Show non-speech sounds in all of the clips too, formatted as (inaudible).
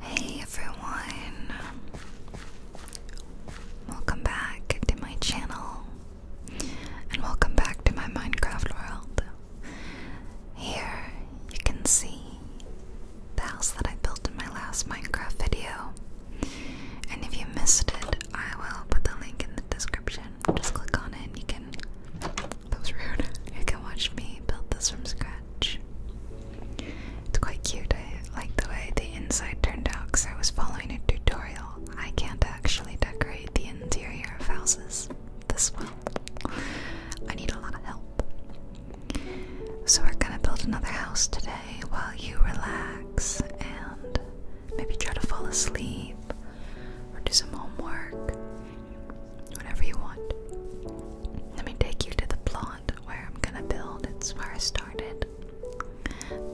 Hey everyone, welcome back to my channel and welcome back to my Minecraft world. Here you can see the house that I built in my last Minecraft video, and if you missed it, I will put the link in the description. Just click on it and you can that was rude. You can watch me build this from scratch. It's quite cute. I like the way the inside turned out because I was following a tutorial. I can't actually decorate the interior of houses this well. I need a lot of help. So we're gonna build another house today while you relax and maybe try to fall asleep or do some homework whatever you want. Let me take you to the plot where I'm gonna build. It's where I started.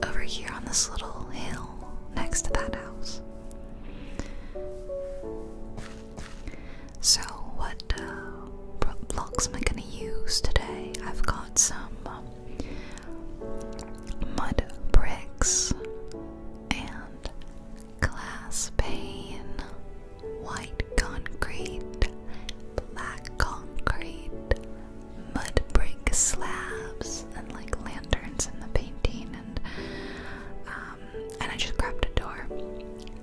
Over here on this little hill next to that house. So, what uh, blocks am I gonna use today? I've got some um, mud bricks and glass pane, white concrete, black concrete, mud brick slabs, and like lanterns in the painting, and um, and I just grabbed a door.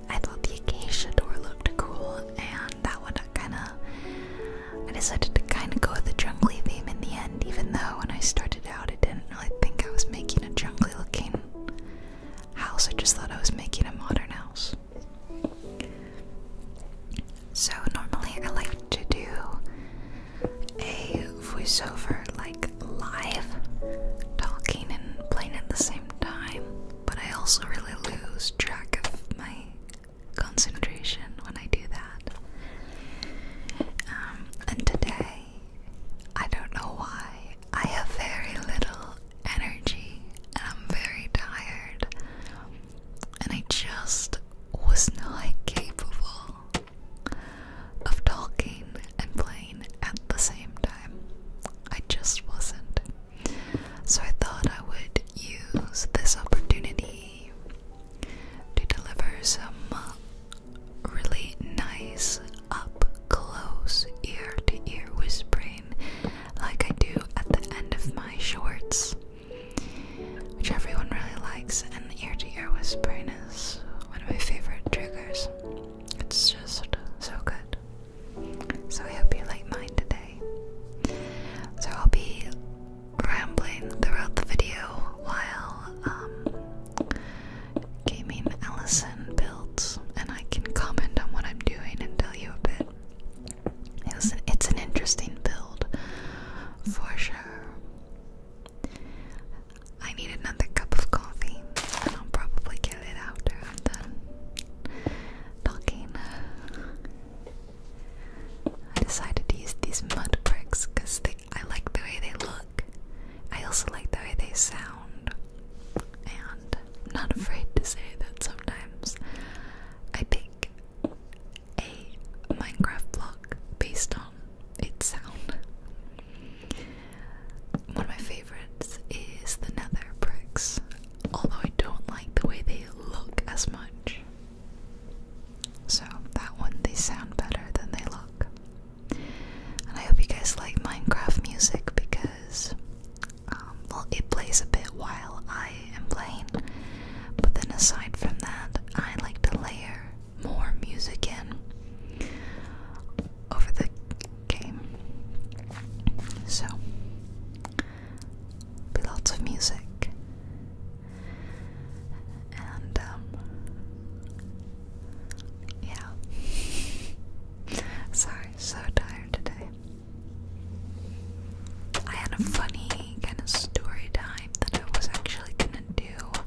I thought the acacia door looked cool, and that one kind of. I decided to kind of go with the jungly theme in the end, even though when I started out, I didn't really think I was making a jungly looking house. I just thought I was making a modern house. So, normally I like to do a voiceover like live, talking and playing at the same time, but I also really lose track of my concentration when I do that. Um, and today I don't know why. I have very little energy and I'm very tired. And I just was not capable of talking and playing at the same time. I just wasn't. So I thought I would use this opportunity to deliver some really nice up close, ear to ear whispering, like I do at the end of my shorts, which everyone really likes. And ear to ear whispering is one of my favorite triggers. It's just so good. So I hope you like mine today. So I'll be rambling throughout the video while um, Gaming Ellison builds, and I can comment on what I'm doing and tell you a bit. it's an interesting build, for sure. I need another cup of coffee, and I'll probably get it after I'm done talking. I decided to use these mud bricks because I like the way they look. I also like the way they sound and I'm not afraid to say that sometimes I pick a Minecraft block based on its sound. One of my favorites is the nether bricks, although I don't like the way they look as much. So, that one, they sound better than they look. And I hope you guys like Minecraft music because um, well, it plays a bit while I am playing, but then aside from that, I like to layer more music in over the game. So, be lots of music, and um, yeah. (laughs) Sorry, so tired today. I had a funny kind of story time that I was actually gonna do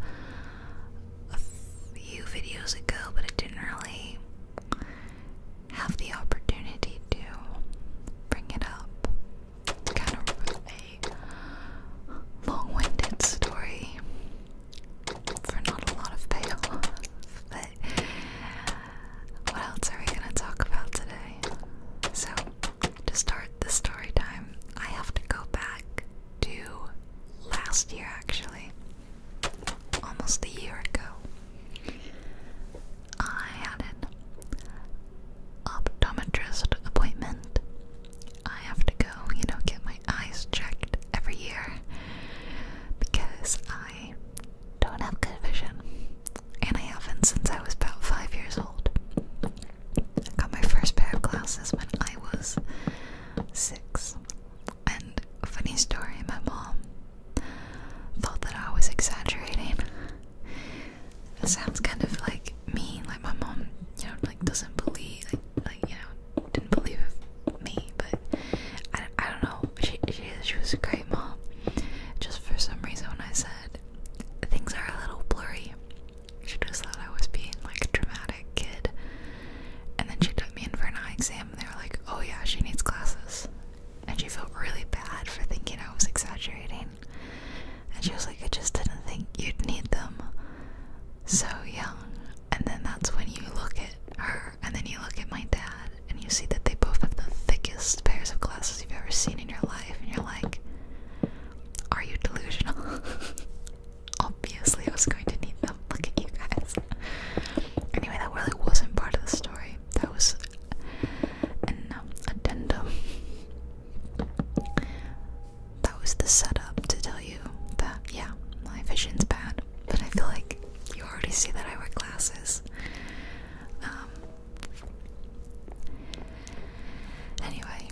a few videos ago, but I didn't really have the opportunity to bring it up. kind of a long winded story for not a lot of payoff. (laughs) But what else are we gonna talk about today? So to start the story time, I have to go back to last year actually. Almost a year ago. I had an optometrist appointment. I have to go, you know, get my eyes checked every year because I don't have good vision. And I haven't since I was about five years old. I got my first pair of glasses when I was six. And funny story, my mom thought that I was exaggerating. It sounds kind of like me, like my mom, you know, like doesn't believe, like, you know, didn't believe me, but I, I don't know. She, she was a great mom. Just for some reason, when I said things are a little blurry, she just thought I was being like a dramatic kid. And then she took me in for an eye exam, and they were like, "Oh yeah, she needs glasses." And she felt really bad for thinking I was exaggerating. And she was like, I just didn't think you'd need them so young. And then that's when you look at her and then you look at my dad, and you see that they both have the thickest pairs of glasses you've ever seen in your life, and you're like, Are you delusional? (laughs) Obviously, I was going to need them. (laughs) Look at you guys. Anyway, that really wasn't part of the story. That was an um, addendum. That was the setup to tell you that, yeah, my vision's bad, but I feel like you already see that I wear glasses, um, anyway,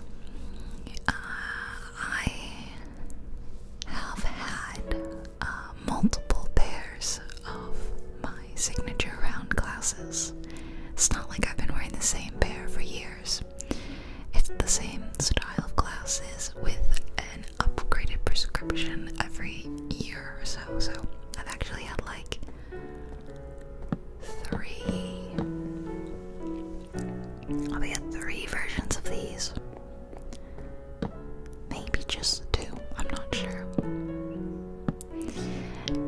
uh, I have had uh, multiple pairs of my signature round glasses. It's not like I've been wearing the same pair for years. It's the same style of glasses with an upgraded prescription every year or so. So I've actually had like three. I'll be three versions of these. Maybe just two, I'm not sure.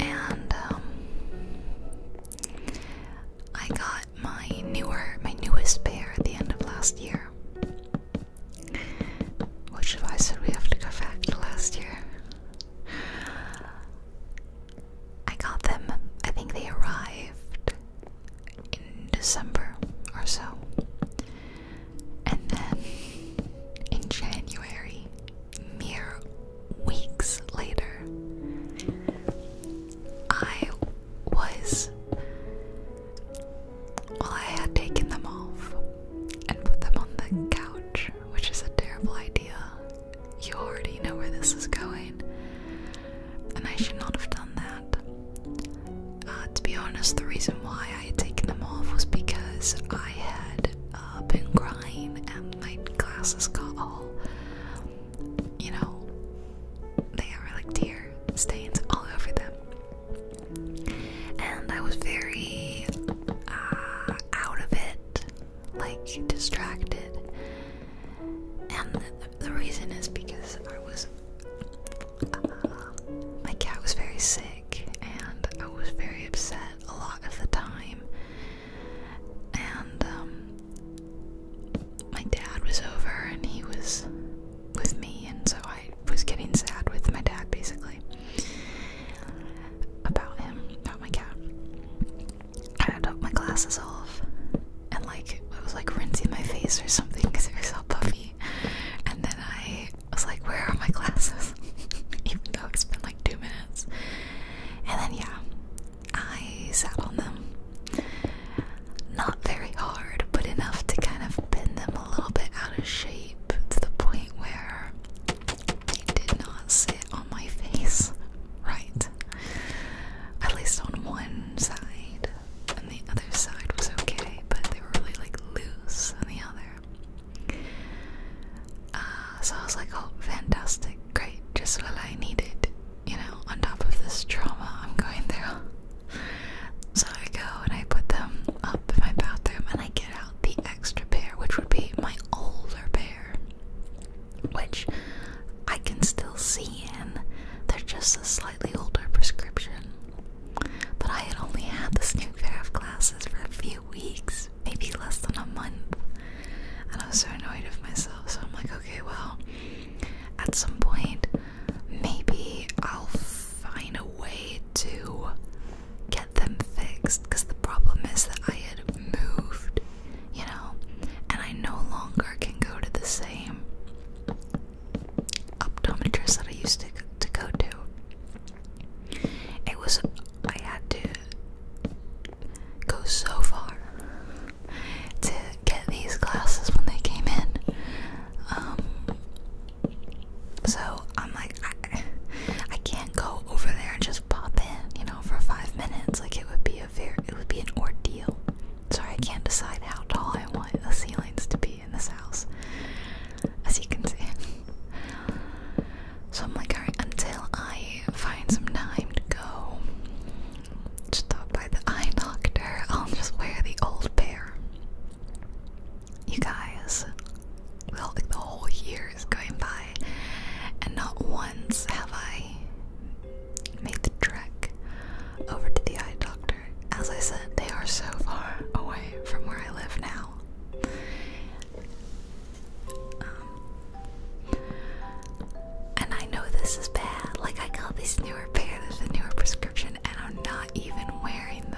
And um I got my newer my newest pair at the end of last year. Which advice did we have to go back to last year? I got them, I think they arrived in December or so. And then in January, mere weeks later, I was well, I had taken them off and put them on the couch, which is a terrible idea. You already know where this is going, and I should not have done that. Uh, to be honest, the reason why I had taken them off was because I had uh, been crying and my glasses got all, you know, they are like tear stains all over them and I was very uh, out of it, like distracted. And the, reason is because I was, uh, my cat was very sick, and I was very upset a lot of the time. And um, my dad was over, and he was with me, and so I was getting sad with my dad basically actually, about him, about my cat. I had my glasses off, and like I was like rinsing my face or something because it was so puffy. And then I was like, "Where are my glasses?" (laughs) Even though it's been like two minutes. And then yeah, I sat on them. Not very hard, but enough to kind of bend them a little bit out of shape to the point where they did not sit on my face right. At least on one side, and the other side was okay, but they were really like loose on the other. Uh, so I was like, oh, fantastic, great, just what I needed, you know, on top of this trauma I'm going through. So I go and I put them up in my bathroom and I get out the extra pair, which would be my older pair, which I can still see in. They're just a slightly older prescription. But I had only had this new pair of glasses for a few weeks, maybe less than a month. And I was so annoyed of myself, so I'm like, okay, well, at some point, maybe I'll find a way to get them fixed because the problem is that I had moved, you know, and I no longer can go to the same optometrist that I used to, to go to. It was, I had to go so far to get these glasses when they came in. Um, so I'm like, I, can't go over there and just pop in, you know, for five minutes. Like it would be a very, it would be an ordeal. Sorry, I can't decide how tall I want the ceilings to be in this house, as you can see. So I'm like, alright, until I find some time to go stop by the eye doctor, I'll just wear the old pair. You guys, well, the whole year is going by, and not once have I made the trek over to the eye doctor. As I said, they are so far away from where I live now. Um, and I know this is bad. Like, I got these newer pair, this a newer prescription, and I'm not even wearing them.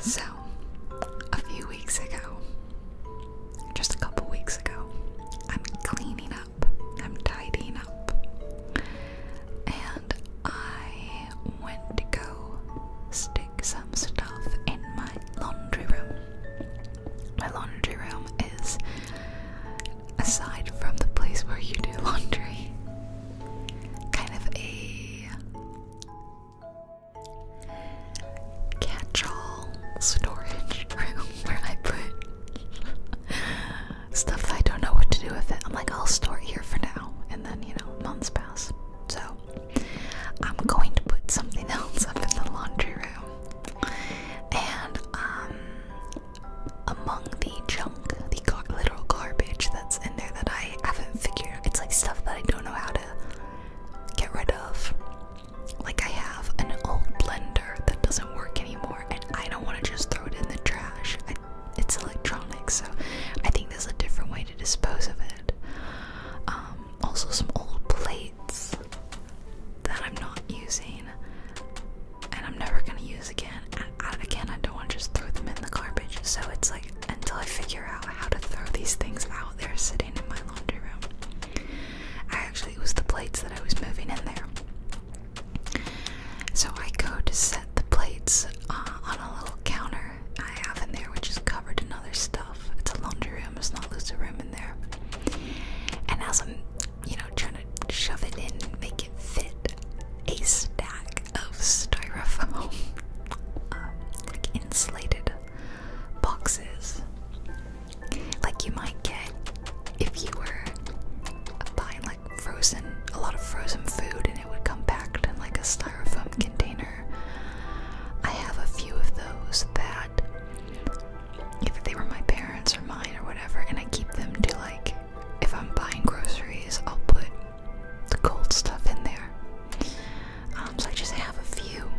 So, a few weeks ago, just a couple weeks ago, I'm cleaning up, I'm tidying up, and I went to go stick some stuff in my laundry room. My laundry room is aside from the place where you do (laughs) laundry, kind of a catch storage (laughs) room where I put stuff that I don't know what to do with it. I'm like, I'll store it here for now, and then you know, months pass. So I'm going to put something (laughs) else up in the laundry room, and um, among the jar the literal garbage that's in there that I haven't figured out. It's like stuff that I don't know how to get rid of. Like, I have an old blender that doesn't work anymore, and I don't want to just throw it in the trash. it's electronic, so I think there's a different way to dispose of it. Um, also, some old plates that I'm not using and I'm never gonna use again, again, I don't want to just throw them in the garbage. So it's like until I figure out how to throw these things out, they're sitting in my laundry room. I actually it was the plates that I was moving in there. So I go to set the plates uh, on a little counter I have in there, which is covered in other stuff. It's a laundry room. It's not loose a room in there. And as I'm, you know, trying to shove it in, and make it fit, a stack of styrofoam (laughs) Um, like insulated boxes, like you might get if you were buying like frozen, a lot of frozen food, and it would come packed in like a styrofoam container. I have a few of those that, if they were my parents or mine or whatever, and I keep them to like, if I'm buying groceries, I'll put the cold stuff in there. Um, so I just have a few.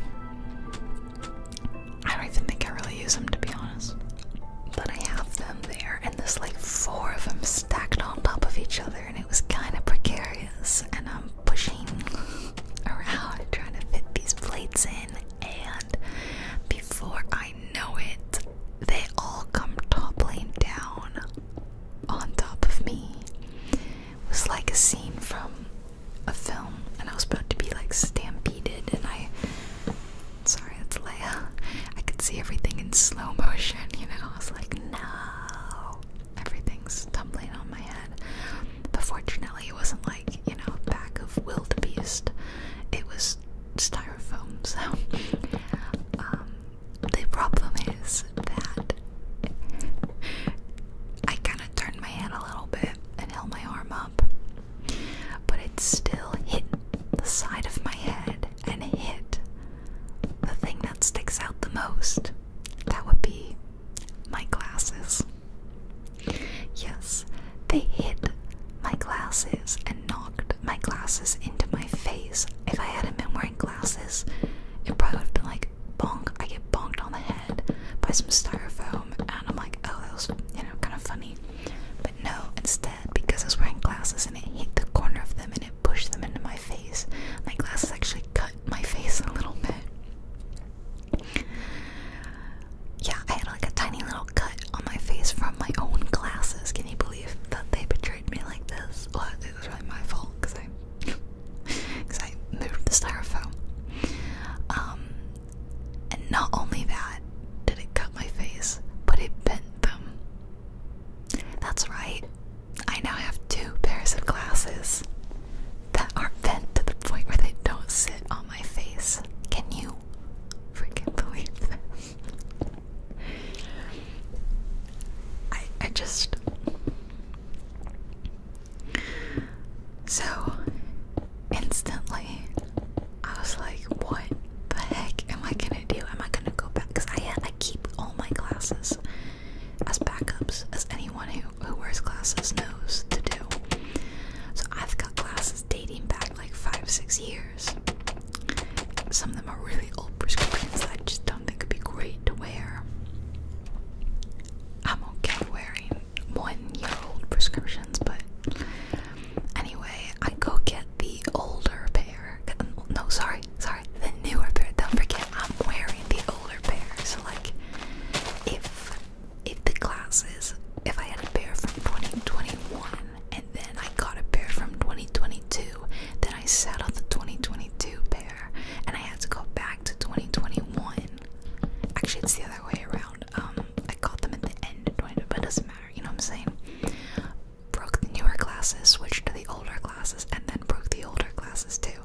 I don't even think I really use them to be honest. But I have them there, and there's like four of them stacked on top of each other, and it was kind of precarious. And I'm pushing (laughs) around trying to fit these plates in, and before I know it, they all come toppling down on top of me was like a scene from a film, and I was about to be like stampeded, and I. Sorry, that's Leia. I could see everything in slow motion, you know? I was like, no! Everything's tumbling on my head. But fortunately, it wasn't like, you know, back of wildebeest. It was styrofoam, so. (laughs) Um, the problem is that I kind of turned my head a little bit and held my arm up, but it still hit the side of my head and hit the thing that sticks out the most. That would be my glasses. Yes, they hit my glasses and knocked my glasses into my face. If I hadn't been wearing glasses, it probably would have been like bonk. I get bonked on the head by some styrofoam, and I'm like, oh, that was you know kind of funny. But no, instead, because I was wearing glasses and it hit the corner of them and it pushed them into my face, my glasses actually cut my face (laughs) a little bit. Yeah, I had like a tiny little cut on my face from my own glasses. Can you believe that they betrayed me like this? Well, it was really my fault because I because (laughs) I moved the styrofoam. Um, and not only that did it cut my face, but it bent them. That's right, I now have two pairs of glasses that are bent to the point where they don't sit on my face. Can you freaking believe this? (laughs) I I just so instantly, I was like, what the heck am I gonna do? Am I gonna go back? Because I, I keep all my glasses as backups, as anyone who, who wears glasses knows to do. So I've got glasses dating back like five, six years. Some of them are really old prescriptions I just don't think it would be great to wear. I'm okay wearing one year old prescriptions, but anyway, I go get the older pair. No, sorry, sorry, the newer pair. Don't forget, I'm wearing the older pair. So, like, if if the glasses, if I had a pair from 2021 and then I got a pair from 2022, then I sat the 2022 pair and I had to go back to 2021. Actually, it's the other way around. Um, I got them at the end of 20, but it doesn't matter. You know what I'm saying? Broke the newer classes, switched to the older classes, and then broke the older classes too.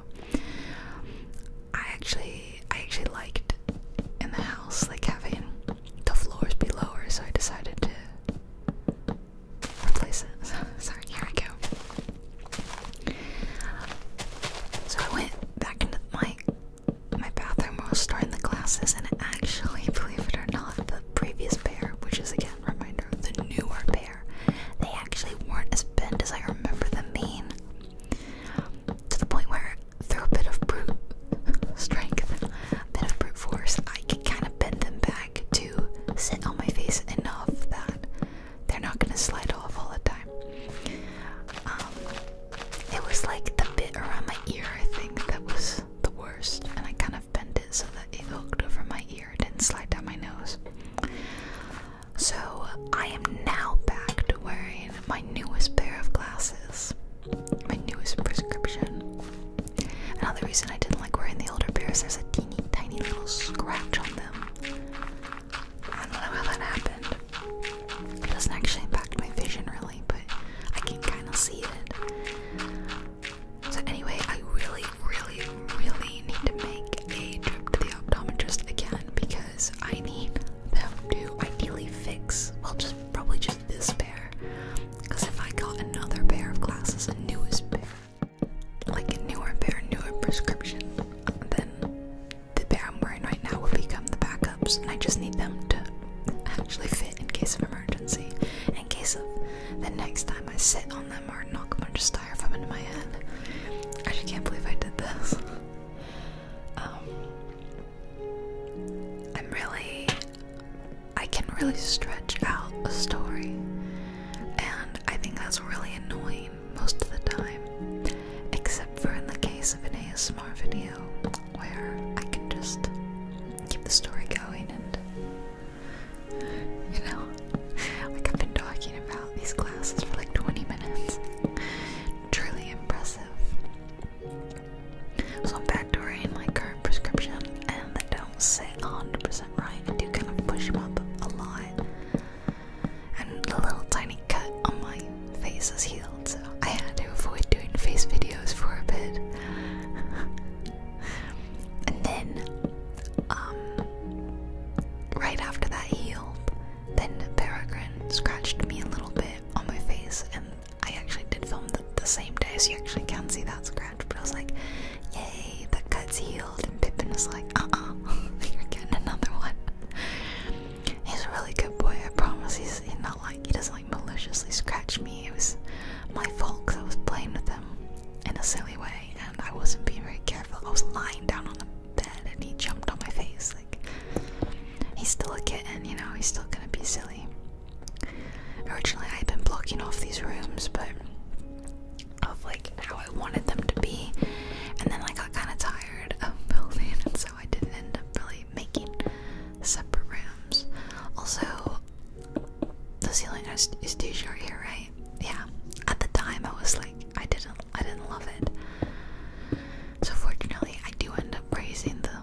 I actually, I actually liked in the house like having the floors be lower, so I decided to replace it. So, (laughs) sorry, here I go. So I went back into my my bathroom while I was starting the glasses, and actually, believe it or not, the previous pair, which is again a reminder, the newer pair, they actually weren't as bent as I remember them being. To the point where, through a bit of brute strength, a bit of brute force, I could kind of bend them back to sit on my face enough that they're not gonna slide off all the time. Um, it was like the bit around my ear, I think, that was the worst, and I kind of bent it so that it hooked over my ear, didn't slide down my nose. So I am now back to wearing my newest pair of glasses, my newest prescription. Another reason I didn't like wearing the older pair is there's a teeny tiny little scratch on them. I don't know how that happened. It doesn't actually impact my vision really, but I can kind of see it. So, anyway, I really, really, really need to make a trip to the optometrist again because I need them to ideally fix, well, just probably just this pair. Because if I got another pair of glasses, a newest pair, like a newer pair, newer prescription, then the pair I'm wearing right now will become the backups, and I just need them to actually fit in case of emergency, in case of the next time I sit on them or knock a bunch of styrofoam into my head. I just can't believe I did this. Um, I'm really, I can really stretch out a story, and I think that's really annoying most of the time, except for in the case of an ASMR video where I can just keep the story going and, you know, (laughs) like I've been talking about these glasses for like 20 minutes. Truly impressive. So I'm back backdooring my current prescription, and they don't sit 100% right. I do kind of push them up a lot and the little tiny cut on my face is healed, so I had to avoid doing face videos for a bit. (laughs) and then, um, right after that healed, then Peregrine scratched me a little bit on my face, and I actually did film the, same day, so you actually can see that scratch. But I was like, "Yay, the cuts healed!" and Pippen was like, uh uh, (laughs) you're getting another one. He's a really good boy, I promise. He's, not like, he doesn't like maliciously scratch me. It was my fault because I was playing with him in a silly way, and I wasn't being very careful. I was lying down on the bed, and he jumped on my face. Like, he's still a kitten, you know, he's still gonna be silly. Originally, I had been blocking off these rooms, but of like how I wanted them to be, and then I got kind of tired of (laughs) building, and so I didn't end up really making separate rooms. Also, the ceiling is, is too short here, right? Yeah. At the time, I was like, I didn't, I didn't love it. So fortunately, I do end up raising the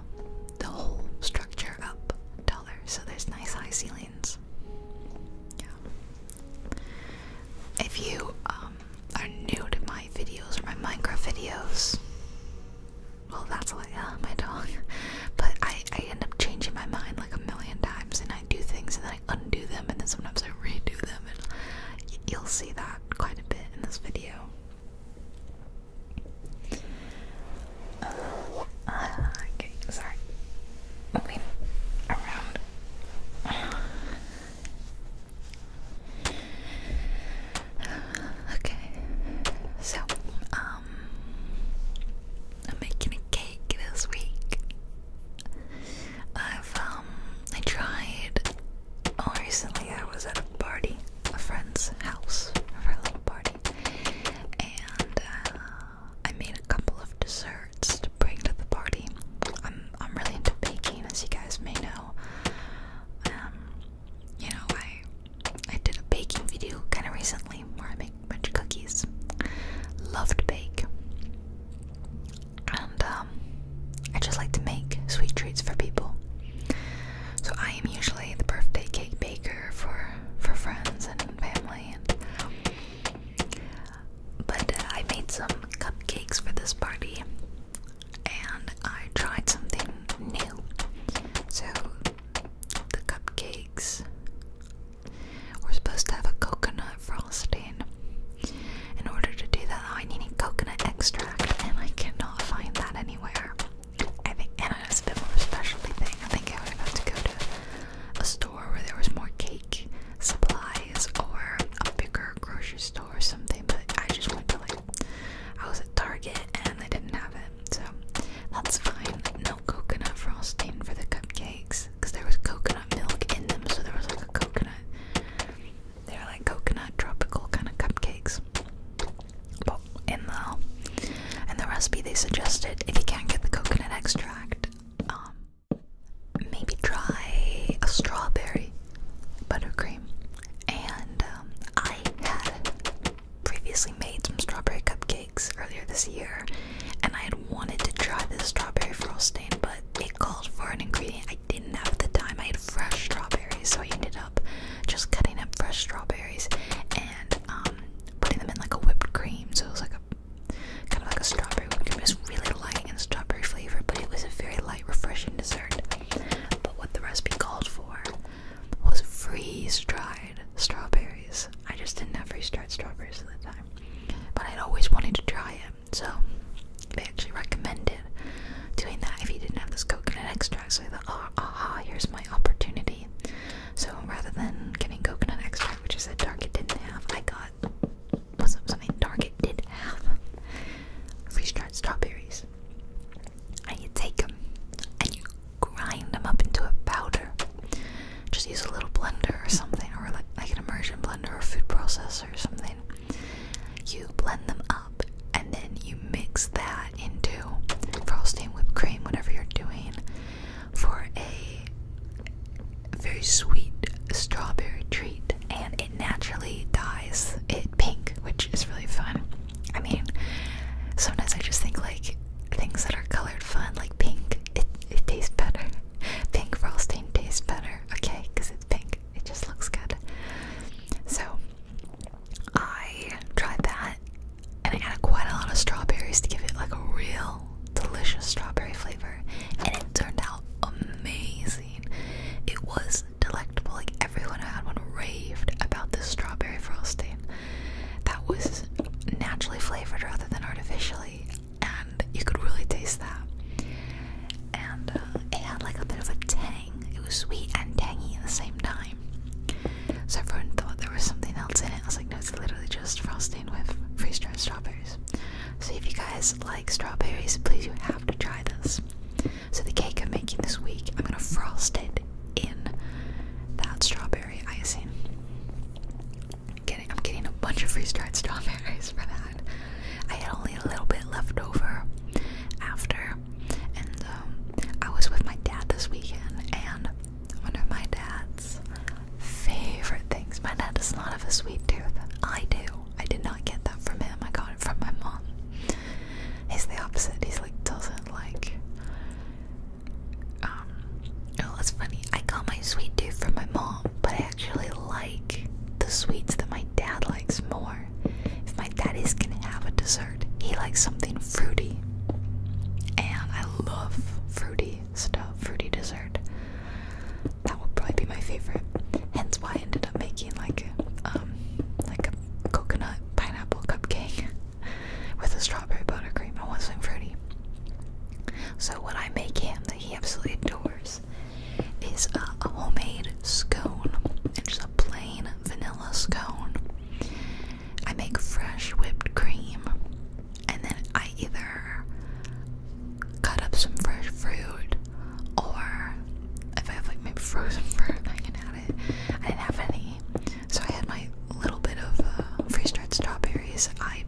the whole structure up taller, so there's nice high ceilings. Yeah. If you um, are new to my videos or my Minecraft videos, well, that's like uh, my dog. (laughs) But I, I end up changing my mind like a million times, and I do things and then I undo them, and then sometimes I redo them, and you'll see that quite a bit in this video. Uh, okay, sorry. Moving around. Okay, so, um, I'm making a cake this week. I've, um, I tried, oh, recently I was at a party, a friend's house a little party, and uh, I made a couple of desserts to bring to the party. I'm I'm really into baking, as you guys may know. Um, you know, I I did a baking video kind of recently where I make a bunch of cookies. Loved to bake, and um, I just like to make sweet treats for people. So I am usually the birthday cake baker for for friends and family, but uh, I made some cupcakes for this party and I tried something new. So the cupcakes were supposed to have a coconut frosting. In order to do that, I needed coconut extract and I cannot find that anywhere. I think, and it's a bit more specialty thing. I think I would about to go to a store where there was more cake supply or a bigger grocery store or something, but I just went to like I was at Target and they didn't have it, so that's fine. No coconut frosting for the cupcakes because there was coconut milk in them, so there was like a coconut. They were like coconut tropical kind of cupcakes. But in the in the recipe, they suggested if you can't get the coconut extract, um, maybe try a strawberry buttercream. And um, I had previously made some strawberry cupcakes earlier this year, and I had wanted to try this strawberry frosting, but it called for an ingredient I didn't have at the time. I had fresh strawberries, so I ended up just cutting up fresh strawberries and um, putting them in like a whipped cream. So it was like a kind of like a strawberry whipped cream. It really light and strawberry flavor, but it was a very light, refreshing dessert. But what the recipe called for was freeze dried strawberries. I just didn't have freeze dried strawberries at the time, but I'd always wanted to try it, so they actually recommended doing that if you didn't have this coconut extract. So I thought, oh, aha, here's my opportunity. So rather than getting coconut extract, which is a dark it didn't have, I got was something Target did have. Freeze-dried strawberries. And you take them and you grind them up into a powder. Just use a little blender or something, or like, like an immersion blender or food processor or something. You blend them up and then you mix that into frosting, whipped cream, whatever you're doing, for a very sweet strawberry treat. And it naturally dyes it pink, which is really fun. I mean, sometimes I just think like things that are colored fun, like pink, it, it tastes better. (laughs) Pink frosting tastes better, okay, because it's pink. It just looks good. So I tried that and I added quite a lot of strawberries to give it like a real delicious strawberry flavor and it turned out amazing. It was delectable. Like everyone I had one raved about this strawberry frosting that was naturally flavored rather than artificially, and you could really taste that. And uh, it had like a bit of a tang. It was sweet and tangy at the same time. So everyone thought there was something else in it. I was like, no, it's literally just frosting with freeze dried strawberries. So if you guys like strawberries, please you have to try this. So, the cake I'm making this week, I'm gonna frost it in that strawberry icing. I'm getting, I'm getting a bunch of freeze dried (laughs) strawberries for that. I had only a little bit left over after, and um, I was with my dad this weekend, and one of my dad's favorite things. My dad is not of a sweet tooth. I do. I did not get that from him. I got it from my mom. He's the opposite. He's like doesn't like. Um, oh, that's funny. I got my sweet tooth from my mom, but I actually like the sweets that my dad likes more. If my daddy's gonna have a dessert, he likes something fruity, and I love fruity stuff, fruity dessert that would probably be my favorite. Hence why I ended up making like um like a coconut pineapple cupcake (laughs) with a strawberry buttercream. I want something fruity. So what I make him that he absolutely adores is a, homemade scone. It's just a plain vanilla scone. I make fresh whipped cream and then I either cut up some fresh fruit or if I have like maybe frozen (laughs) fruit, I can add it. I didn't have any, so I had my little bit of uh, freeze-dried strawberries. I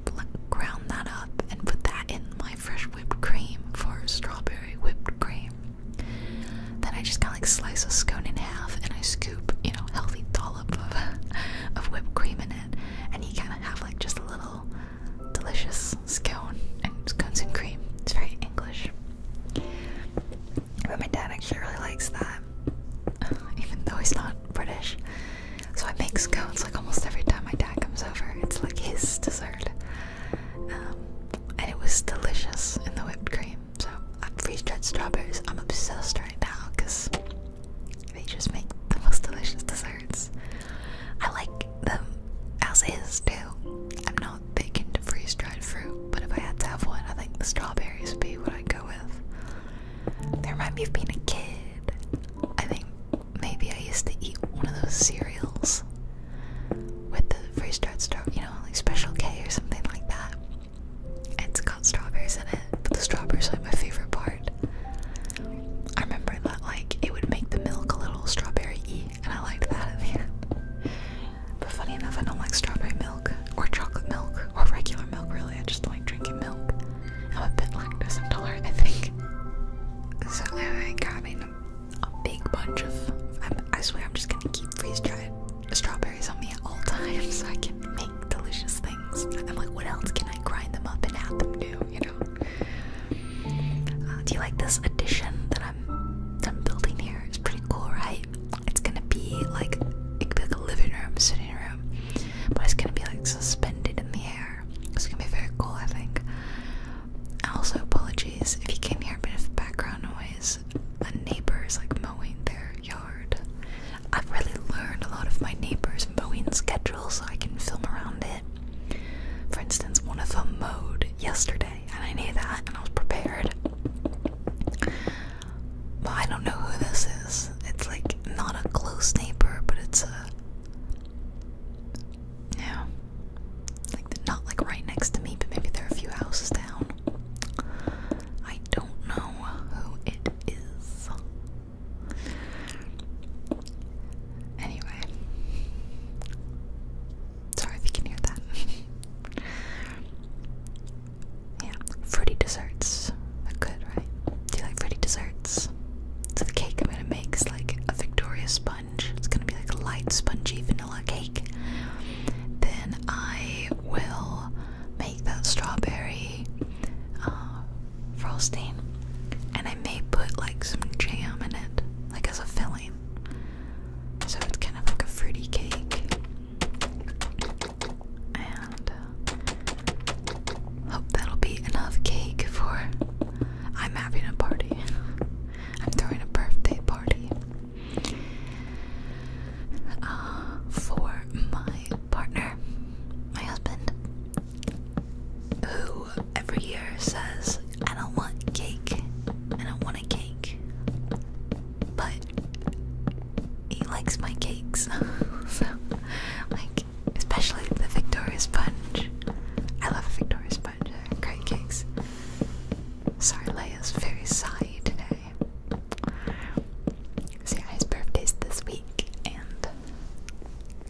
ground that up and put that in my fresh whipped cream for strawberry whipped cream. Then I just kind of like slice a scone in half and I scoop, you know, healthy dollop of, (laughs) of whipped cream in it, and you kind of have like just a little delicious scone, and scones and cream. It's very English. But my dad actually really likes that, (laughs) even though he's not British. So I make scones like almost every time my dad comes over. It's like his dessert. Um, and it was delicious in the whipped cream. So i freeze dried strawberries. I'm obsessed right now because they just make the most delicious desserts. I like them as is too. I'm not thinking to freeze dried fruit, but if I had to have one, I think the strawberries would be what i go with. They remind me of being a kid. I think maybe I used to eat one of those cereals with the freeze dried straw, you know, like Special K or something like that. It's got strawberries in it, but the strawberries are like my favorite part. I remember that like it would make the milk a little strawberry y and I liked that at the end. But funny enough, I don't like strawberry milk or chocolate milk or regular milk really. I just like drinking milk. I'm a bit lactose intolerant, I think. So I got in a, a big bunch of. I swear, I'm just gonna keep freeze dried strawberries on me at all (laughs) times so I can make delicious things. I'm like, what else can I grind them up and add them to? You know. Uh, do you like this addition that I'm building here? It's pretty cool, right? It's gonna be like it could be like a living room, sitting room, but it's gonna be like suspended in the air. It's gonna be very cool, I think. Also, apologies if you can hear a bit of background noise. A neighbor is like mowing their yard. I've really learned a lot of my neighbors' mowing schedule so I can film around it. For instance, one of them mowed yesterday and I knew that, and I was prepared. I don't know who this is. It's like not a close neighbor, but it's a yeah, like not like right next to me, but maybe they're a few houses down. I don't know who it is. Anyway, Sorry if you can hear that. (laughs) yeah, fruity desserts are good, right? Do you like fruity desserts? So the cake I'm gonna make is like a Victoria sponge. It's gonna be like a light spongy vanilla cake. Then I will make that strawberry uh, frosting, and I may put like some jam in it, like as a filling. So it's kind of like a fruity cake. And uh, hope that'll be enough cake for. I'm having a party. (laughs) I'm throwing a birthday party. Uh, for my partner, my husband, who every year says, I don't want cake, I don't want want a cake, but he likes my cakes. (laughs) so, like, especially the Victoria Sponge. I love Victoria Sponge, They're great cakes. Sorry, Leia's very sighy today. So yeah, his birthday's this week, and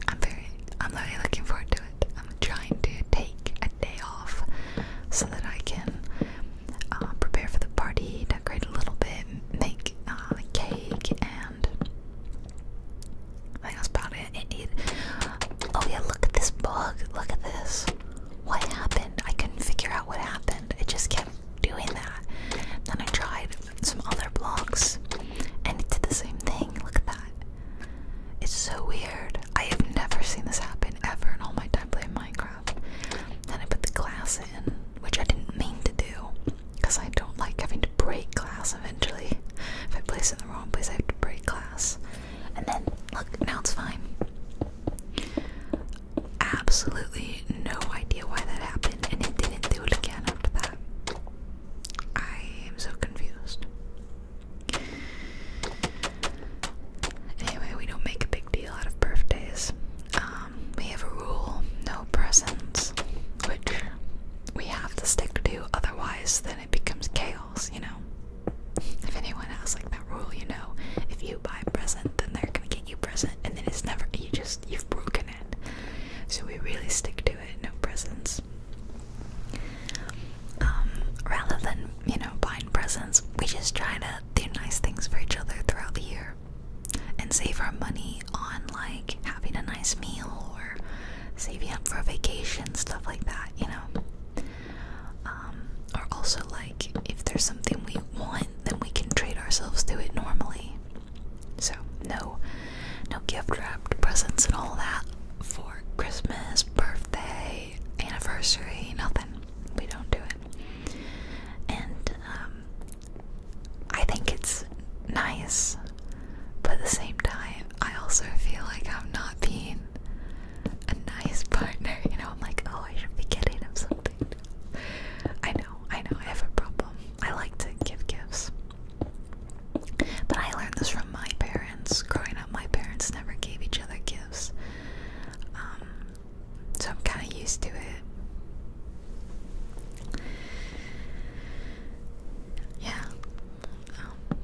I'm very, I'm really looking forward to it. I'm trying to take a day off so that I can uh, prepare for the party, decorate a little bit, make uh, cake, and I think that's about it. It, it. Oh yeah, look at this bug. Look at this. What happened? I couldn't figure out what happened. It just kept doing that. Then I tried some other blocks, and it did the same thing. Look at that. It's so weird. I have never seen this happen and ever in all my time playing Minecraft. Then I put the glass in, which I didn't mean to do, because I don't like having to break glass eventually. If I place it in the wrong place, I have to break glass. And then, look, now it's fine. Absolutely no idea why that happened, and it didn't do it again after that. I am so confused. Anyway, we don't make a big deal out of birthdays. Um, we have a rule no presents, which we have to stick to, otherwise, then it becomes chaos, you know? If anyone has like that rule, you know, if you buy a present, then they're gonna get you a present, and then it's never, you just, you've broken it. So we really stick to it, no presents. Um, rather than you know buying presents, we just try to do nice things for each other throughout the year and save our money on like having a nice meal or saving up for a vacation, stuff like that, you know. Um, or also like if there's something we want, then we can treat ourselves to it normally. So no, no gift wrapped presents and all that for Christmas, birthday, anniversary, nothing we don't do it. And um, I think it's nice, but at the same time, I also feel like I'm not being a nice partner. You know, I'm like, oh, I should be getting him something. I know, I know, I have a problem. I like to give gifts. But I learned this from my parents. Growing up, my parents never gave each other gifts. Um, so I'm kind of used to it. Yeah. Um,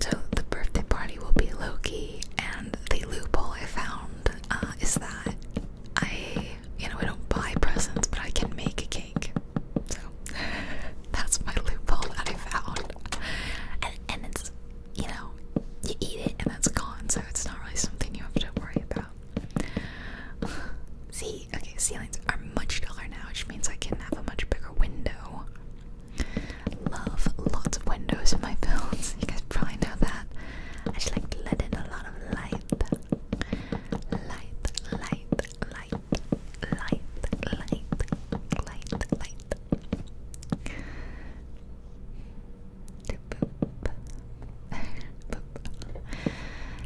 so the birthday party will be low key, and the loophole I found uh, is that I, you know, I don't buy presents, but I can make a cake. So (laughs) that's my loophole that I found, and, and you know, you eat it and that's gone, so it's not really something you have to worry about. (laughs) See, okay, ceilings are much taller now, which means I can have a much bigger window. Love lots of windows in my (laughs) films. You guys probably know that. I just like to let in a lot of Light, light, light, light, light, light, light, light,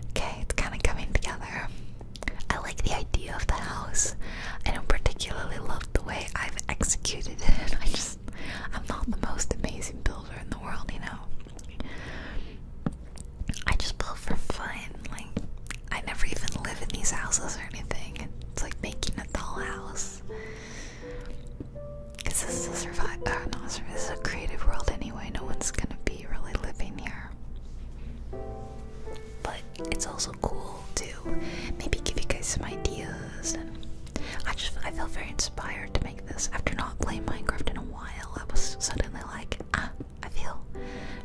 okay, it's kind of coming together. I like the idea of the house. I don't particularly love the way I've executed it. (laughs) I just, I'm not the most amazing builder in the world, you know. I just build for fun. Like, I never even live in these houses or anything. It's like making a dollhouse. Because uh, this is a creative world anyway. No one's gonna be really living here. But it's also cool to maybe give you guys some ideas. And I just I felt very inspired to make this after not playing Minecraft in a while. I was suddenly like, ah, I feel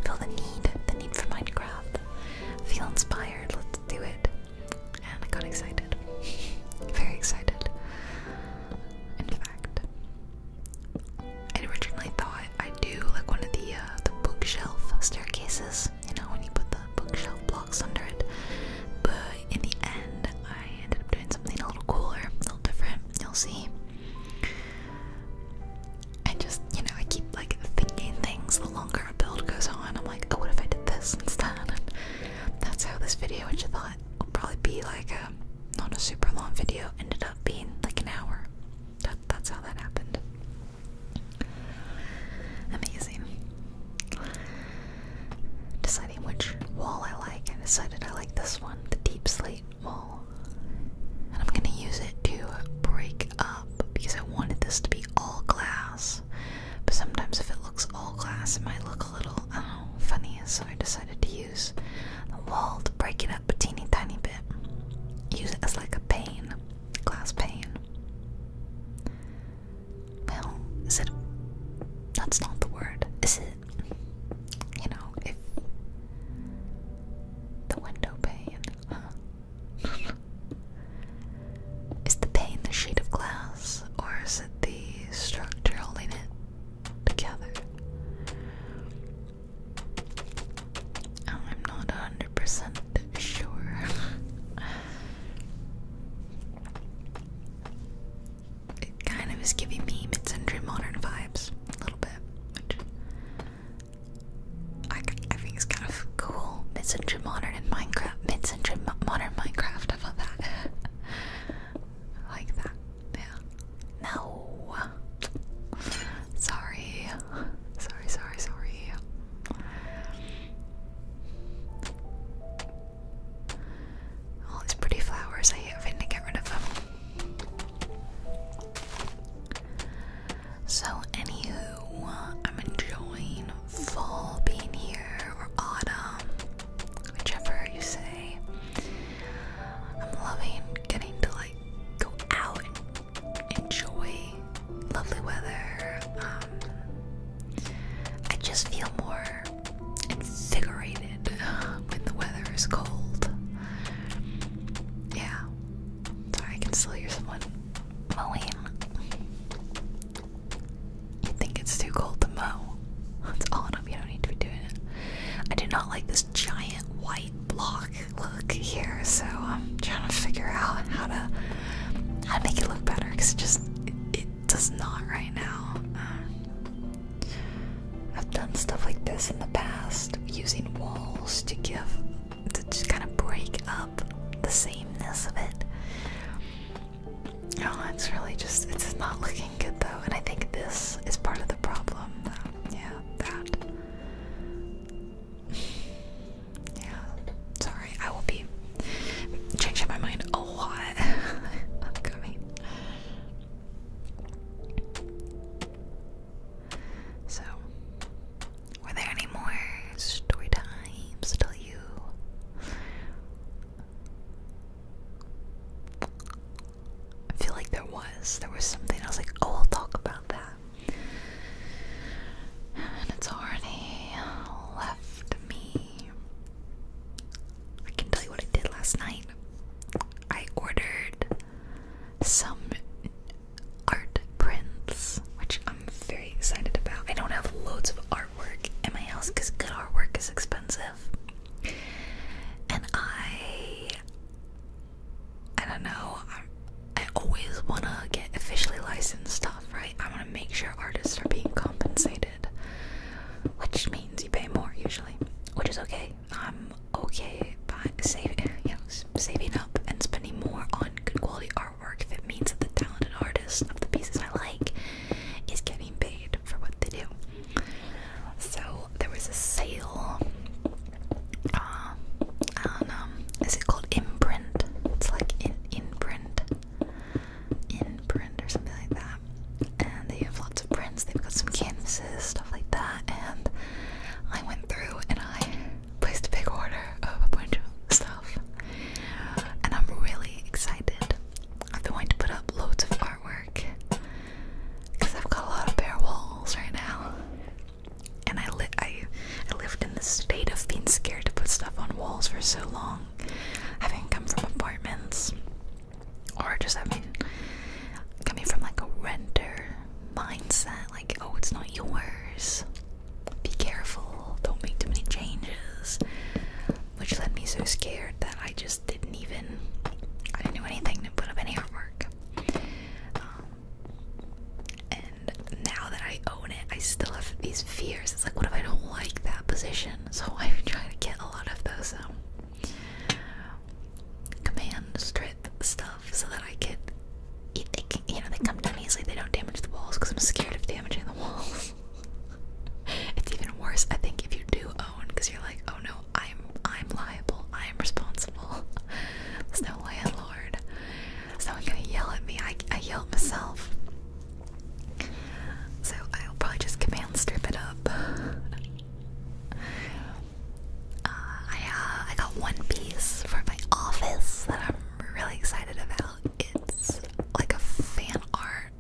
feel the need, the need for Minecraft. feel inspired. Let's do it and I got excited. (laughs) Very excited. In fact, I originally thought I'd do like one of the uh, the bookshelf staircases, you know, when you put the bookshelf blocks under it. But in the end, I ended up doing something a little cooler, a little different. You'll see. I just, you know, I keep like thinking things the longer a build goes on. I'm like, oh, what if I did this instead? that's how this video, which I thought will probably be like a um, not a super long video, ended up being like an hour. that's how that happened. Amazing. Deciding which wall I like, I decided I like this one, the deep slate wall. And I'm gonna use it to break up because I wanted this to be all glass. But sometimes if it looks all glass, it might look a little, funny. So I decided to use the wall to break it up a teeny tiny bit. Use it as like a pane, glass pane. Well, is it? That's not the word, is it? You know, if the window pane. (laughs) Is the pain the sheet of glass, or is it the structure holding it together? I'm not 100% sure. it kind of is giving me mid century modern vibes a little bit, which I, think it's kind of cool. Mid century modern in Minecraft, mid century modern Minecraft stuff that. (laughs) like that. Yeah. No. Sorry. Sorry, sorry, sorry. All these pretty flowers, I hate having to get rid of them. So, anywho, I'm enjoying fall being here or autumn, whichever you say. I'm loving getting to like go out and enjoy lovely weather. Um, I just feel more invigorated when the weather is cold. Yeah. Sorry, I can still hear someone mowing. You think it's too cold to mow? (laughs) It's autumn, you don't need to be doing it. I do not like this giant white block look here, so I'm trying to figure out how to how to make it look better because it just it, does not right now. Um, I've done stuff like this in the past, using walls to give to kind of break up the sameness of it. Oh, it's really just, it's not looking good though, and I think this is part of the problem. Yeah, that. (sighs) Yeah, sorry, I will be changing my mind a lot upcoming. (laughs) So, were there any more story times to you? I feel like there was. There was something I was like, oh, I'll talk about that. And it's already left me. I can tell you what I did last night. I ordered some art prints, which I'm very excited about. I don't have loads of art artwork in my house because good artwork is expensive. And I, I don't know, I, always want to get officially licensed stuff, right? I want to make sure artists are being compensated, which means you pay more usually, which is okay. I'm okay but saving, (laughs) you saving up and spending more on good quality artwork if it means that the talented artists of the pieces I like is getting paid for what they do. So there was a sale. Uh, um, is it called Imprint? It's like in Imprint, Imprint or something like that. And they have lots of prints. They've got some canvases, stuff like that. And I went through and I placed a big order of a bunch of stuff. And I'm really excited I've been wanting to put up loads of artwork because I've got a lot of bare walls right now, and I li I, lived in this state of being scared to put stuff on walls for so long, having come from apartments, or just having coming from like a renter mindset, like oh it's not yours, be careful, don't make too many changes which left me so scared that I just didn't even I didn't do anything to put up any artwork. Um, and now that I own it, I still have these fears. It's like, what if I don't like that position? (laughs) So I'm trying to get a lot of those um, command strip stuff so that I can, you know, they come down easily. They don't damage the walls because I'm scared of damaging the walls. (laughs) (laughs) it's even worse, I think, if you do own, because you're like, oh no, I'm I'm liable, I'm responsible. (laughs) There's no landlord. Someone gonna yell at me. I I yell at myself. So I'll probably just command strip it up. (laughs) Uh, I uh, I got one piece for my office that I'm really excited about. It's like a fan art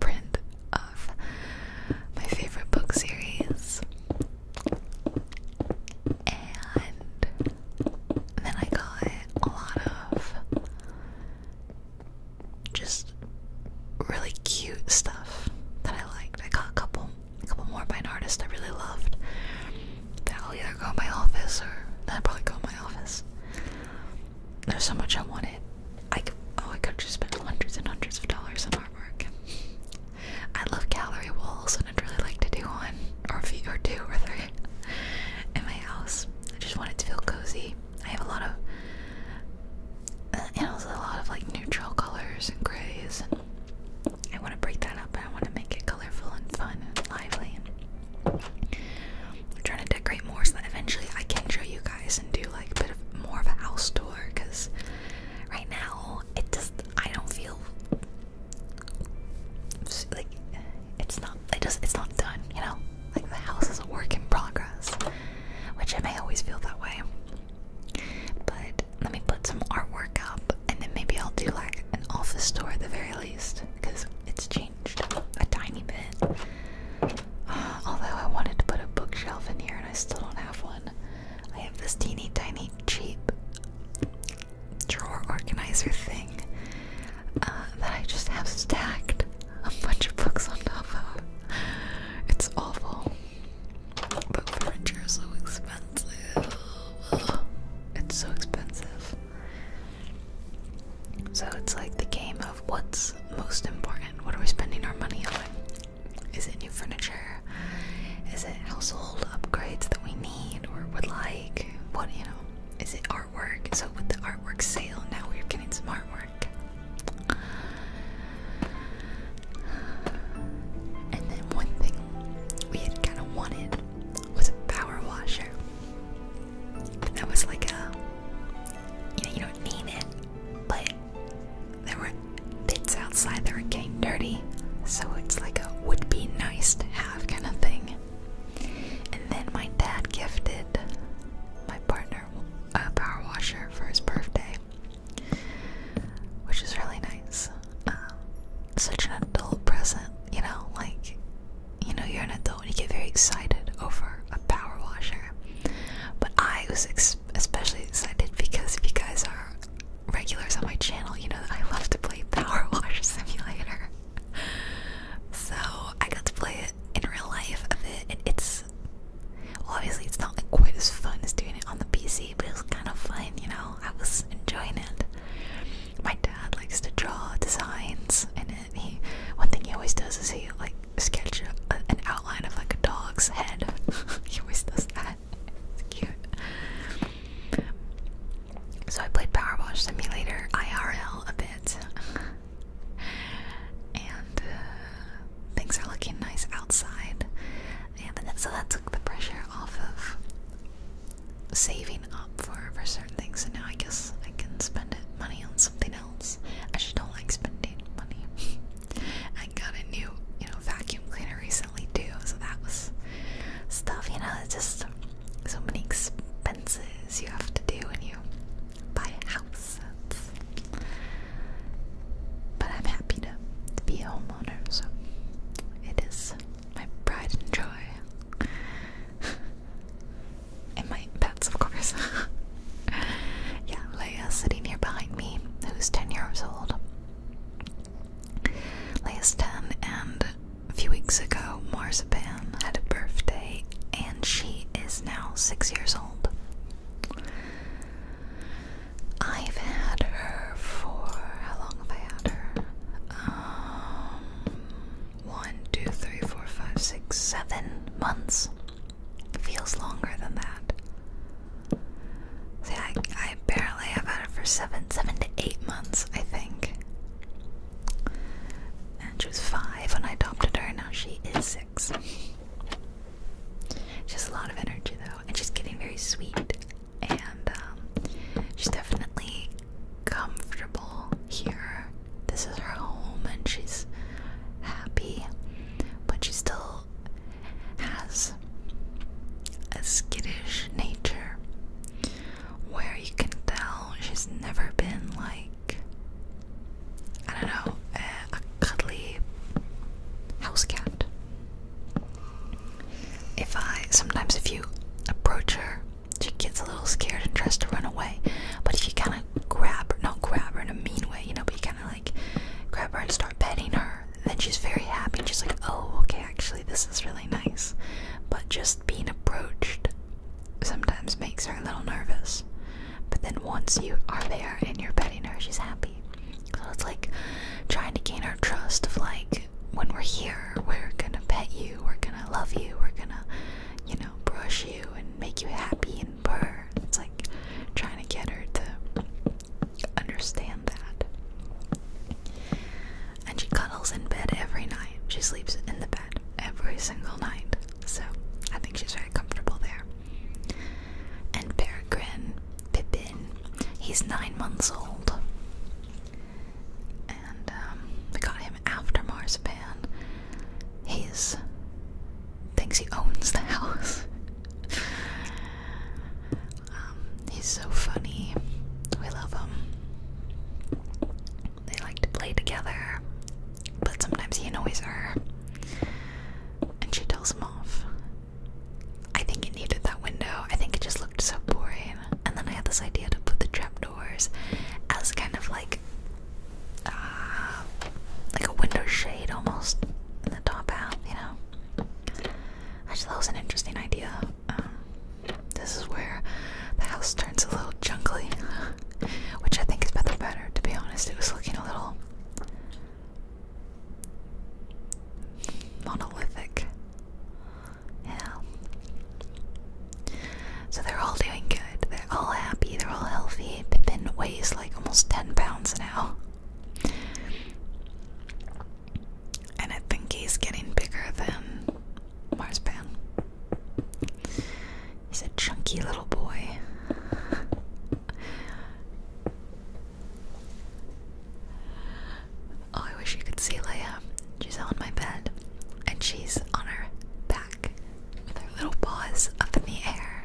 print of my favorite book series. And then I got a lot of just really cute stuff that I liked. I got a couple a couple more by an artist I really loved. That'll either go in my office or that'll probably go in my office. There's so much I wanted I could, oh, I could just spend hundreds and hundreds of dollars on artwork. I love gallery walls, and I'd really like to do one, or a few, or two, or three in my house. I just want it to feel cozy. I have a lot of, uh, and also a lot of like neutral colors and grays. And I want to break that up, and I want to make it colorful and fun and lively. I'm trying to decorate more so that eventually I can show you guys and do like a bit of more of a house tour because right now it just I don't feel like it's not it just it's not done, you know? Like the house is a work in progress. Which I may always feel that way. But let me put some artwork up and then maybe I'll do like an office tour at the very least because it's changing a tiny bit. (sighs) although I wanted to put a bookshelf in here and I still don't have one. I have this teeny tiny cheap drawer organizer thing uh, that I just have stacked a bunch of books on top of. It's awful. But furniture is so expensive. It's so expensive. So it's like the game of what's most important. What are we spending our money on? Is it new furniture? Is it household upgrades that we need or would like? What, you know? Is it artwork? So, with the artwork sale, now we're getting some artwork. And then, one thing we had kind of wanted was a power washer. That was like a you know, you don't need it, but there were bits outside that were getting dirty, so it's like a would be nice to have kind of thing. And then my dad gifted my partner a power washer for his birthday, which is really nice. Um, such an adult present, you know, like, you know, you're an adult though you get very excited over a power washer. But I was especially excited because if you guys are regulars on my channel, you know that I love to play (laughs) Power Washer Simulator. so I got to play it in real life a bit, and it's obviously it's not like quite as fun as doing it on the PC, but it was kind of fun, you know. I was enjoying it. My dad likes to draw designs, and he one thing he always does is he like sketch an outline of like a dog's head. (laughs) he always does that. It's cute. So I played Power Wash Simulator IRL a bit. and uh, things are looking nice outside. And so that took the pressure off of saving up for for certain things so now I guess I can spend money on something else. I just don't like spending money. (laughs) I got a new, you know, vacuum cleaner recently too, so that was stuff, you know, just so many expenses you have to do when you buy a house. but I'm happy to be a homeowner, so it is my pride and joy. (laughs) and my pets, of course. (laughs) yeah, Leia's sitting here behind me, who's 10 years old. Leia's 10, and a few weeks ago, Marzipan had a birthday, and she is now 6 years old. I've had her for how long have I had her? Um, one, two, three, four, five, six, seven months feels longer than that. See, I, I apparently have had it for seven, seven to eight months, I think. And she was five when I adopted her, now she is six. She has a lot of energy, though, and she's getting very sweet. And um, she's definitely comfortable here. This is her home, and she's happy but she still has a skittish nature where you can tell she's never been like, I don't know, a, cuddly house cat. If I sometimes, if you approach her, she gets a little scared and tries to run away, but if you kind of grab her, not grab her in a mean way, you know, but you kind of like grab her and start petting her. then she's very happy. She's like, oh, okay, actually, this is really nice. But just being approached sometimes makes her a little nervous. But then once you are there and you're petting her, she's happy. So it's like trying to gain her trust of like, when we're here, we're gonna pet you, we're gonna love you, we're gonna, you know, brush you and make you happy in birds, like trying to get her to understand that. And she cuddles in bed every night. She sleeps in the bed every single night. So I think she's very comfortable there. And Peregrine, Pippin, he's nine months old. And um, we got him after Marzipan. He's thinks he owns the house. um, he's so funny. We love him. They like to play together, but sometimes he annoys her. And she tells him off. I think it needed that window. I think it just looked so boring. And then I had this idea to put the trapdoors as kind of like uh, like a window shade almost in the top out, you know. I just thought was an interesting idea. Um, this is where the house turns a little junkly, (laughs) which I think is better. Better to be honest, it was looking a little monolithic. Yeah. So they're all doing good. They're all happy. They're all healthy see Pippin weighs like almost 10 pounds now. And I think he's getting bigger than Marspan. He's a chunky little boy. oh, I wish you could see Leia. She's on my bed, and she's on her back with her little paws up in the air.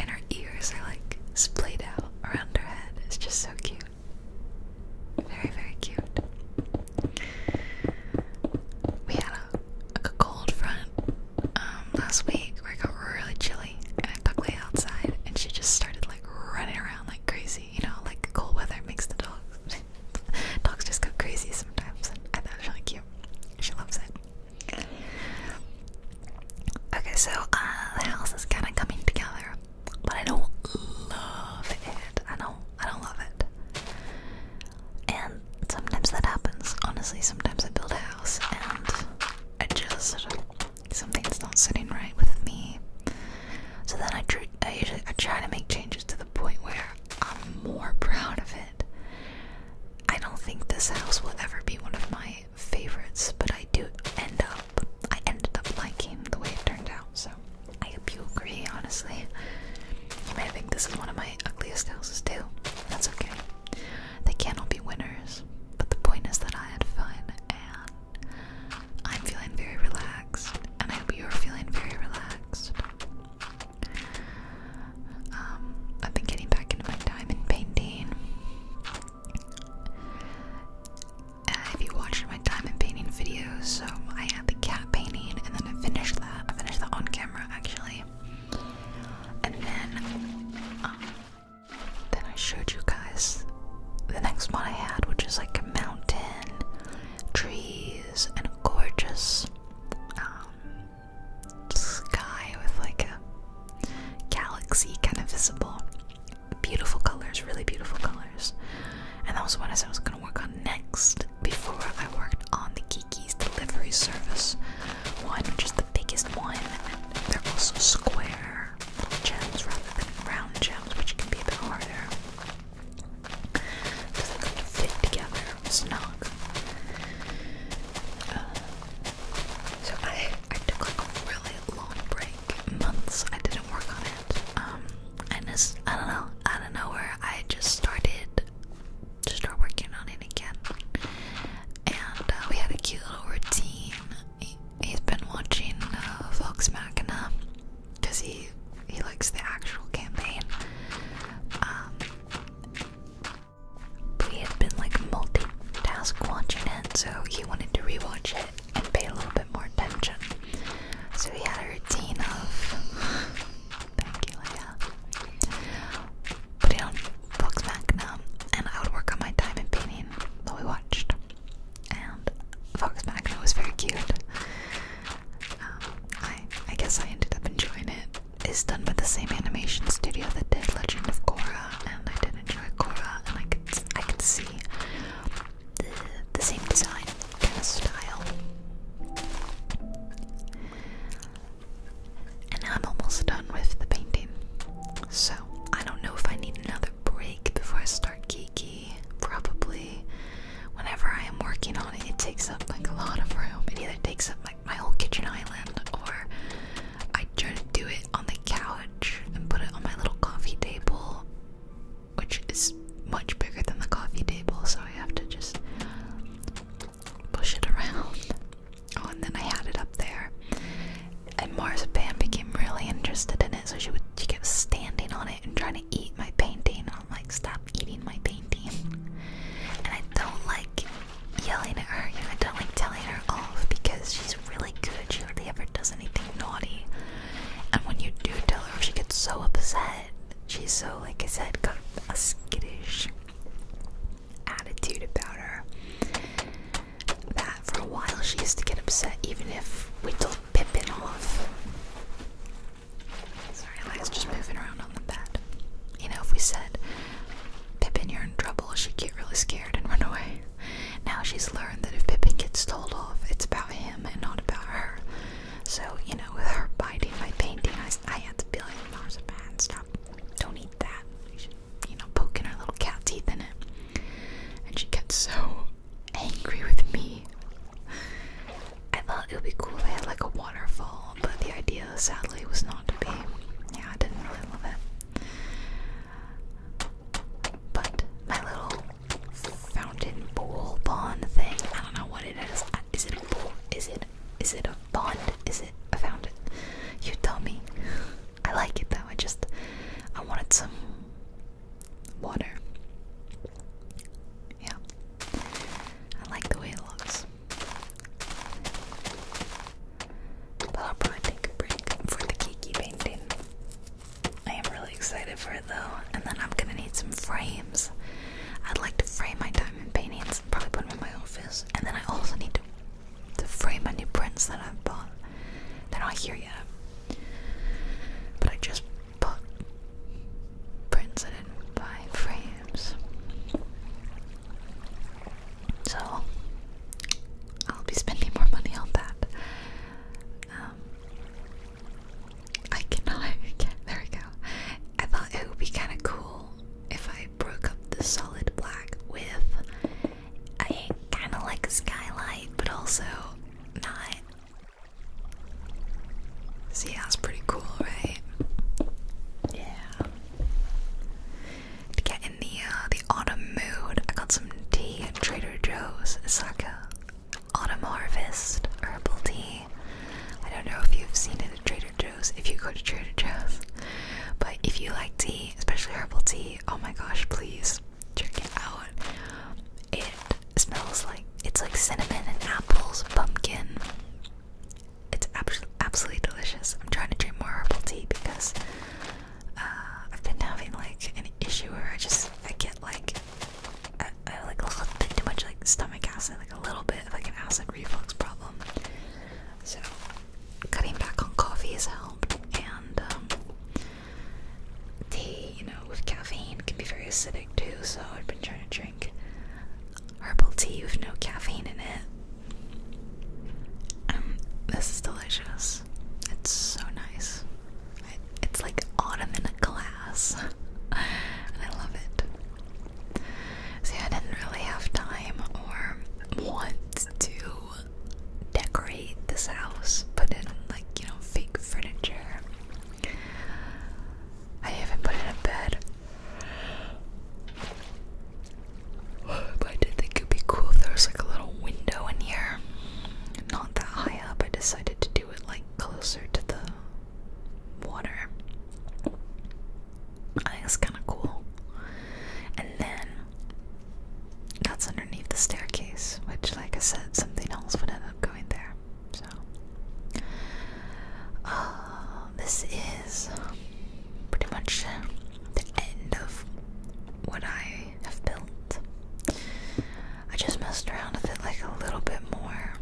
And her ears are like splayed out around her head. It's just so cute. Very, very cute. We had a, cold front um, last week where it got really chilly and I took Lay outside and she just started like running around like crazy. You know, like cold weather makes the dogs. (laughs) dogs just go crazy sometimes. And I thought it was really cute. She loves it. Okay, so uh, the house is kind of coming together, but I don't love it. I do I don't love it. And sometimes that happens. Honestly, sometimes I build a house and I just something's not sitting right with me. So then I, usually I try to make changes to the point where I'm more proud of it. I don't think this house will ever be one of my favorites, but I do end up, I ended up liking the way it turned out, so I hope you agree, honestly. You may think this is one of my ugliest houses too. That's okay. They can't all be winners, but the point is that I had fun and I'm feeling very relaxed, and I hope you're feeling very relaxed. Um, I've been getting back into my diamond painting. if you watched my diamond painting videos, so I had the cat painting and then I finished that. I finished that on camera actually. And then, um, then I showed you guys the next one I had, which is like a mountain, trees, and a gorgeous um, sky with like a galaxy kind of visible. Beautiful colors, really beautiful colors. And that was what I said I was gonna work on next before I worked on the Geeky's delivery service one, which is the biggest one. And they're also square gems rather than round gems, which can be a bit harder. Because kind of fit together, snug. So I, I took like a really long break, months I didn't work on it. Um, and this, I don't know, out of nowhere I just started to start working on it again. And uh, we had a cute little routine. He, has been watching uh, Vox Machina because he he likes the actual campaign. Um, we had been like multitask watching it, so he wanted to rewatch it and pay a little bit more attention. So he had a routine of (sighs) thank you, Leia. Putting on Vox Machina, and I would work on my time and painting while we watched. And Fox Machina was very cute. Um, I I guess I ended up enjoying it is done by the same animation studio that did Legend of Korra, and I did enjoy Korra, and I can I could see the, same design kind of style. And I'm almost done with the painting, so I don't know if I need another break before I start geeky. Probably, whenever I am working on it, it takes up like a lot of room. It either takes up like my whole kitchen island or I tried to do it on the couch and put it on my little coffee table, which is much bigger than the coffee table, so I have to just push it around. (laughs) Oh, and then I had it up there. And Marzipan became really interested in it, so she would she kept standing on it and trying to eat my painting. And I'm like, stop eating my painting. (laughs) And I don't like yelling at her. You I don't like telling her off because she's really good. She hardly ever does anything naughty. And when you do tell her, she gets so upset. She's so, like I said, got a skittish attitude about her. That for a while she used to get upset even if we told Pippin off. Sorry, I was just moving around on the bed. You know, if we said, Pippin, you're in trouble. She'd get really scared and run away. Now she's learned that if Pippin gets told off, it's about him and not about her. So, you know, with her biting my painting, I, had to be like, Mars, man, stop. Don't eat that. you know, poking her little cat teeth in it. And she gets so angry with me. I thought it would be cool if I had like a waterfall, but the idea, sadly, was not to be. Yeah, I didn't really love it. But my little fountain bowl bond thing, I don't know what it is. Is it a bowl? Is it is it a bond? Is it a fountain? You tell me. I like it though. I just I wanted some water. Yeah. I like the way it looks i probably take a break for the Kiki painting. I am really excited for it though, and then I'm gonna need some frames. I'd like to frame my diamond paintings probably put them in my office. And then I also need to to frame my new prints that I've bought. They're not here yet. But I just bought prints I did buy frames. So I'll be spending more money on that. Um, I cannot. (laughs) There we go. I thought it would be kind of cool if I broke up the solid black with a kind of like skylight, but also not. See, that's pretty cool, right? Yeah to get in the uh, the autumn mood. I got some tea at Trader Joe's. It's like a autumn harvest herbal tea. I don't know if you've seen it at Trader Joe's. If you go to Trader Joe's, but if you like tea, especially herbal tea, oh my gosh, please check it out. It smells like it's like cinnamon and apples, pumpkin. It's absolutely delicious. I'm trying to drink more herbal tea because uh, I've been having like an issue where I just I get like I, I like a little bit too much like stomach acid, like a little bit of like an acid reflux problem. So cutting back on coffee has helped, and um, tea, you know, with caffeine can be very acidic too. So I've been trying to drink herbal tea with no caffeine in it. Um, this is delicious. It's so nice. it's like autumn in a glass, and (laughs) I love it. See, I didn't really have time or want to decorate this house, put in like you know fake furniture. I even put in a bed. But I did think it would be cool if there was like a little window in here. Not that high up. I decided to do it like closer to the water. I think it's kind of cool. And then that's underneath the staircase, which, like I said, something else would end up going there. So, uh, this is pretty much the end of what I have built. I just messed around with it like a little bit more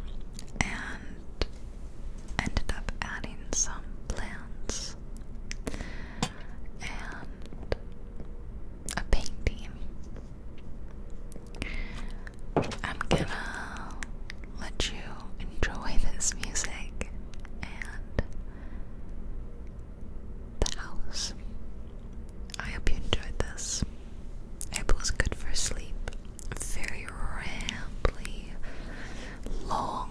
and ended up adding some plants and a painting. I'm gonna let you enjoy this music and the house. I hope you enjoyed this. Apple is good for sleep. Very rambly, long,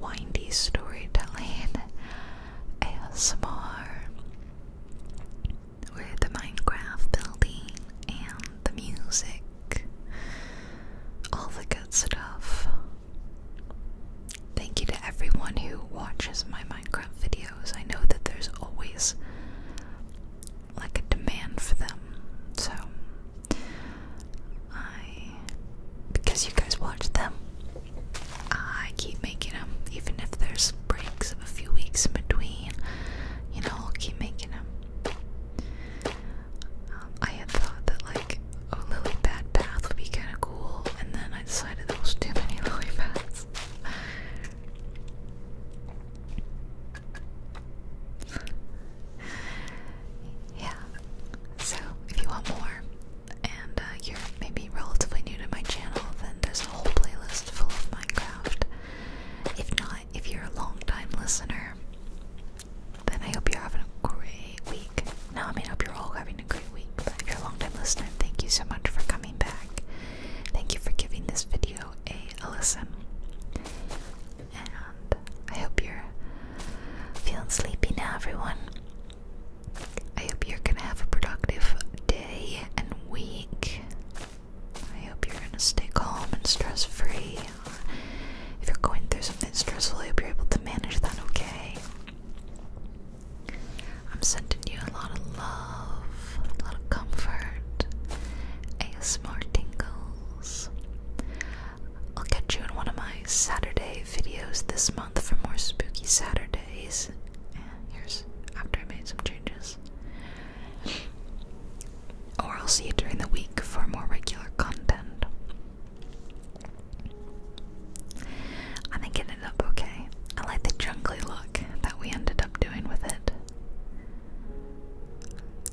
windy storytelling ASMR with the Minecraft building and the music, all the good stuff. Thank you to everyone who watches my Minecraft videos. I know that there's always like a demand for them. So I because you guys watch them, I keep making them even if there's breaks of a few weeks in between. You know, I'll keep making them. Um, I had thought that like oh, lily pad bath would be kind of cool, and then I decided there was too many (laughs) lily pads. yeah. So, if you want more, and uh, you're maybe relatively new to my channel, then there's a whole playlist full of Minecraft. If not, if you're a long time listener, then I hope you're having a great week. Now I mean, I hope you're all having a great week. But if you're a long time listener, thank you so much for coming back. Thank you for giving this video a, a listen. And I hope you're feeling sleepy now, everyone. I hope you're gonna have a productive day and week. I hope you're gonna stay calm and stress free. If you're going through something stressful, I hope you're able to manage that okay. I'm sending you a lot of love, a little comfort, comfort, ASMR tingles. I'll catch you in one of my Saturday videos this month for more spooky Saturdays. here's after I made some changes. Or I'll see you during the week for more regular content. I think it ended up okay. I like the jungly look that we ended up doing with it.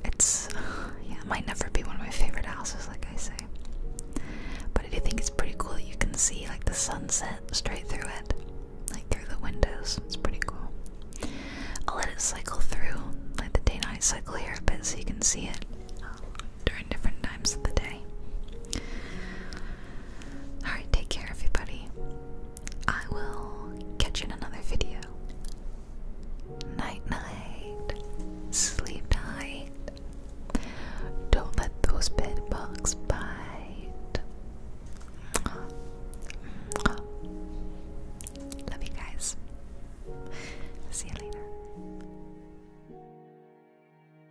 It's, (sighs) yeah, might never be one of my favorite houses, like I say. But I do think it's pretty cool that you can see like the sunset straight through it, like through the windows. It's pretty cool. I'll let it cycle through, like the day-night cycle here a bit, so you can see it during different times of the day. Alright, take care, everybody. I will catch you in another video. Night, night. Sleep tight. Don't let those bed bite. Love you guys. See you later.